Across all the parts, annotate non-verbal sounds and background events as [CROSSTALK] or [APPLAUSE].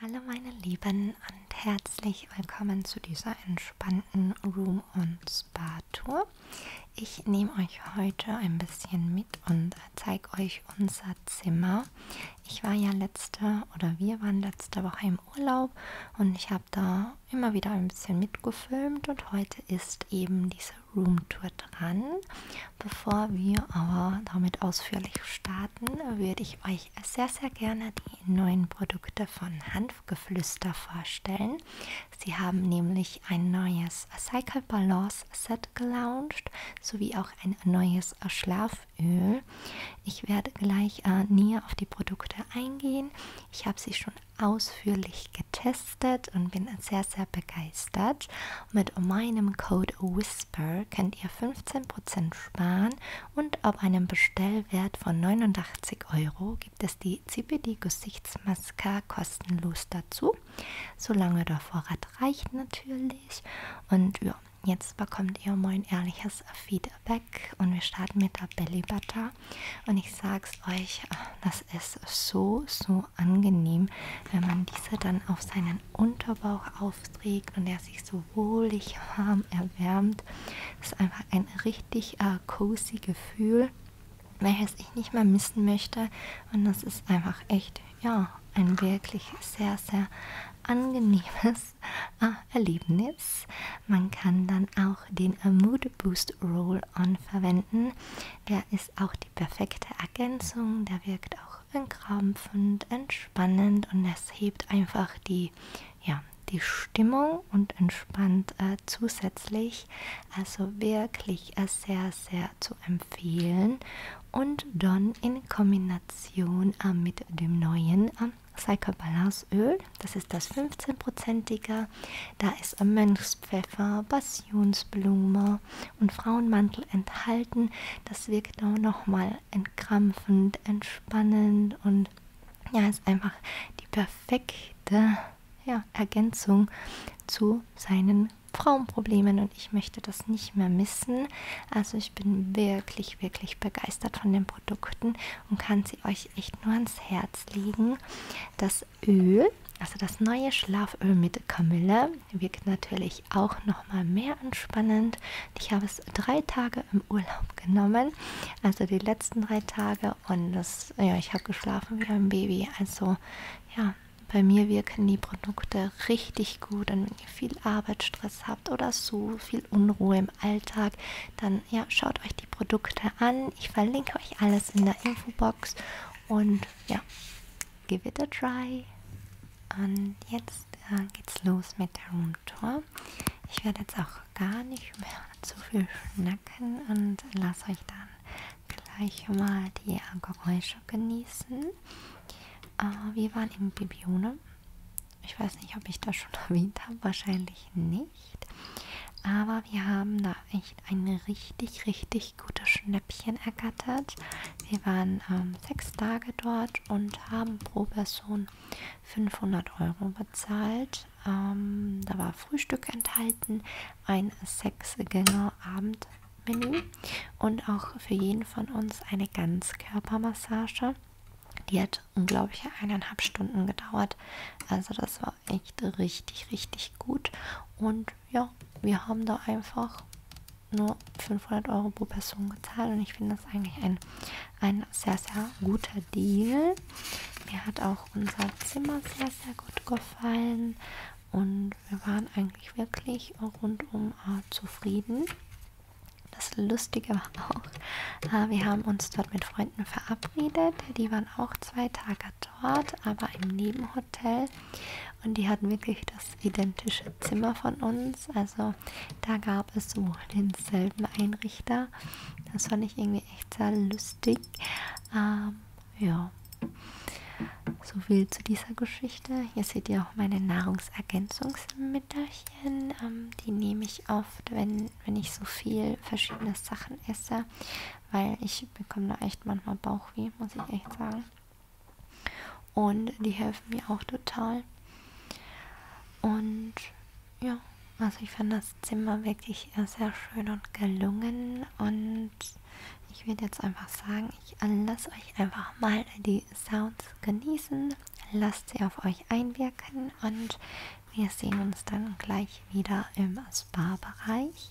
Hallo meine Lieben und herzlich willkommen zu dieser entspannten Room und Spa Tour. Ich nehme euch heute ein bisschen mit und zeige euch unser Zimmer. Ich war ja letzte oder wir waren letzte Woche im Urlaub und ich habe da immer wieder ein bisschen mitgefilmt und heute ist eben diese Roomtour dran. Bevor wir aber damit ausführlich starten, würde ich euch euch sehr, sehr gerne die neuen Produkte von Hanfgeflüster vorstellen. Sie haben nämlich ein neues Cycle Balance Set gelauncht, sowie auch ein neues Schlaföl. Ich werde gleich äh, näher auf die Produkte eingehen. Ich habe sie schon ausführlich getestet und bin sehr, sehr begeistert. Mit meinem Code WHISPER könnt ihr 15% sparen und ab einem Bestellwert von 89 Euro gibt es die CBD Gesichtsmaske kostenlos dazu, solange der Vorrat reicht natürlich. Und ja, jetzt bekommt ihr mein ehrliches Feedback und wir starten mit der Belly Butter. Und ich sag's euch, das ist so, so angenehm, wenn man diese dann auf seinen seinen Unterbauch aufträgt und er sich so wohlig warm erwärmt. Das ist einfach ein richtig äh, cozy Gefühl, welches ich nicht mehr missen möchte. Und das ist einfach echt, ja, ein wirklich sehr, sehr angenehmes [LAUGHS] äh, Erlebnis. Man kann dann auch den äh, Mood Boost Roll-On verwenden. Der ist auch die perfekte Ergänzung. Der wirkt auch entkrampfend, entspannend entspannend und es hebt einfach die, ja, die Stimmung und entspannt äh, zusätzlich. Also wirklich äh, sehr, sehr zu empfehlen. Und dann in Kombination äh, mit dem neuen äh, Cycle Balance Öl, das ist das 15%ige. Da ist äh, Mönchspfeffer, Passionsblume und Frauenmantel enthalten. Das wirkt auch nochmal entkrampfend, entspannend und ja, ist einfach die perfekte ja, Ergänzung zu seinen Frauenproblemen und ich möchte das nicht mehr missen. Also ich bin wirklich, wirklich begeistert von den Produkten und kann sie euch echt nur ans Herz legen. Das Öl, also das neue Schlaföl mit Kamille, wirkt natürlich natürlich auch noch mal mehr entspannend. Ich habe es drei Tage im Urlaub genommen, also die letzten drei Tage und das, ja, ich habe geschlafen wie ein Baby. Also ja, bei mir wirken die Produkte richtig gut und wenn ihr viel Arbeitsstress habt oder so viel Unruhe im Alltag, dann ja, schaut euch die Produkte an. Ich verlinke euch alles in der Infobox und ja, give it a try. Und jetzt äh, geht's los mit der Roomtour. Ich werde jetzt auch gar nicht mehr zu viel schnacken und lasse euch dann gleich mal die äh, Geräusche genießen. Äh, wir waren im Bibione. Ich weiß nicht, ob ich das schon [LAUGHS] erwähnt habe, wahrscheinlich nicht. Aber wir haben da echt einen richtig, richtig richtig gute Schnäppchen ergattert. Wir waren ähm, sechs Tage dort und haben pro Person 500 Euro bezahlt. Ähm, da war Frühstück enthalten, ein Sechs-Gänge-Abendmenü und auch für jeden von uns eine Ganzkörpermassage. Die hat unglaubliche eineinhalb Stunden gedauert. Also das war echt richtig, richtig gut. Und ja, wir haben da einfach nur 500 Euro pro Person gezahlt und ich finde das eigentlich ein, ein sehr, sehr guter Deal. Mir hat auch unser Zimmer sehr, sehr gut gefallen und wir waren eigentlich wirklich rundum äh, zufrieden. Das Lustige war auch, äh, wir haben uns dort mit Freunden verabredet. Die waren auch zwei Tage dort, aber im Nebenhotel Hotel und die hatten wirklich das identische Zimmer von uns. Also da gab es sowohl denselben Einrichter. Das fand ich irgendwie echt sehr lustig. Ähm, ja, so viel zu dieser Geschichte. Hier seht ihr auch meine Nahrungsergänzungsmittelchen. Ähm, die nehme ich oft, wenn, wenn ich so viel verschiedene Sachen esse, weil ich bekomme da echt manchmal Bauchweh, muss ich echt sagen. Und die helfen mir auch total. Und ja, also ich fand das Zimmer wirklich sehr schön und gelungen. Und ich würde jetzt einfach sagen, ich lasse euch einfach mal die Sounds genießen. Lasst sie auf euch einwirken und wir sehen uns dann gleich wieder im Spa-Bereich.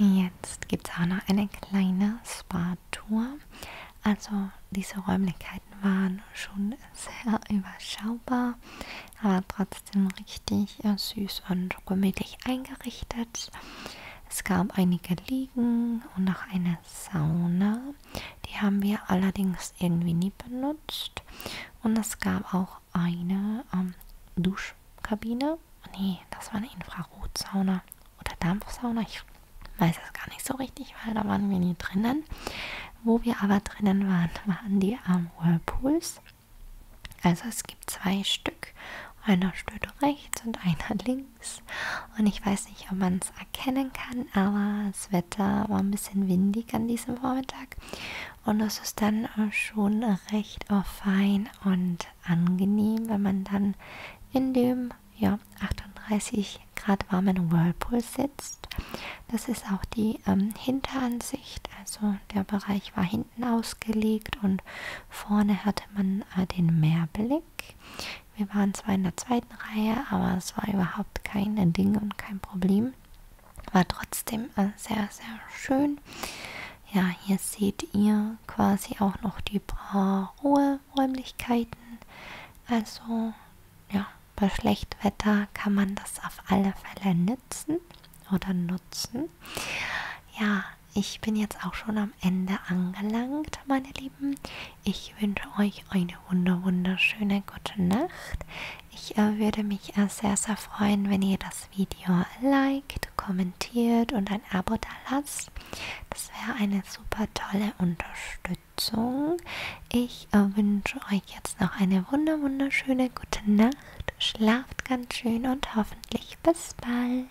Jetzt gibt es auch noch eine kleine Spa-Tour. Also diese Räumlichkeiten waren schon sehr [LAUGHS] überschaubar, aber trotzdem richtig äh, süß und gemütlich eingerichtet. Es gab einige Liegen und noch eine Sauna die haben wir allerdings irgendwie nie benutzt. Und es gab auch eine ähm, Duschkabine. Nee, das war eine Infrarotsauna oder Dampfsauna. Ich weiß es gar nicht so richtig, weil da waren wir nie drinnen. Wo wir aber drinnen waren, [LAUGHS] waren die ähm, Whirlpools. Also es gibt zwei Stück. Einer steht rechts und einer [LAUGHS] links. Und ich weiß nicht, ob man es das erkennen kann, aber das Wetter war ein bisschen windig an diesem Vormittag und es ist dann schon recht fein und angenehm, wenn man dann in dem ja, 38 Grad warmen Whirlpool sitzt. Das ist auch die ähm, Hinteransicht, also der Bereich war hinten ausgelegt und vorne hatte man äh, den Meerblick. Wir waren zwar in der zweiten zweiten Reihe, aber es war überhaupt kein Ding und kein Problem. War trotzdem äh, sehr, sehr schön. Ja, hier seht ihr quasi auch noch die paar Ruheräumlichkeiten. Also, ja, bei schlechtem Wetter kann man das auf alle Fälle nutzen oder nutzen. Ja, ich bin jetzt auch schon am Ende angelangt, meine Lieben. Ich wünsche euch eine wunder, wunderschöne gute Nacht. Ich äh, würde mich äh, sehr, sehr freuen, wenn ihr das Video liked, kommentiert und ein Abo da lasst. Das wäre eine super tolle Unterstützung. Ich äh, wünsche euch jetzt noch eine wunder, wunderschöne gute Nacht. Schlaft ganz schön und hoffentlich bis bald.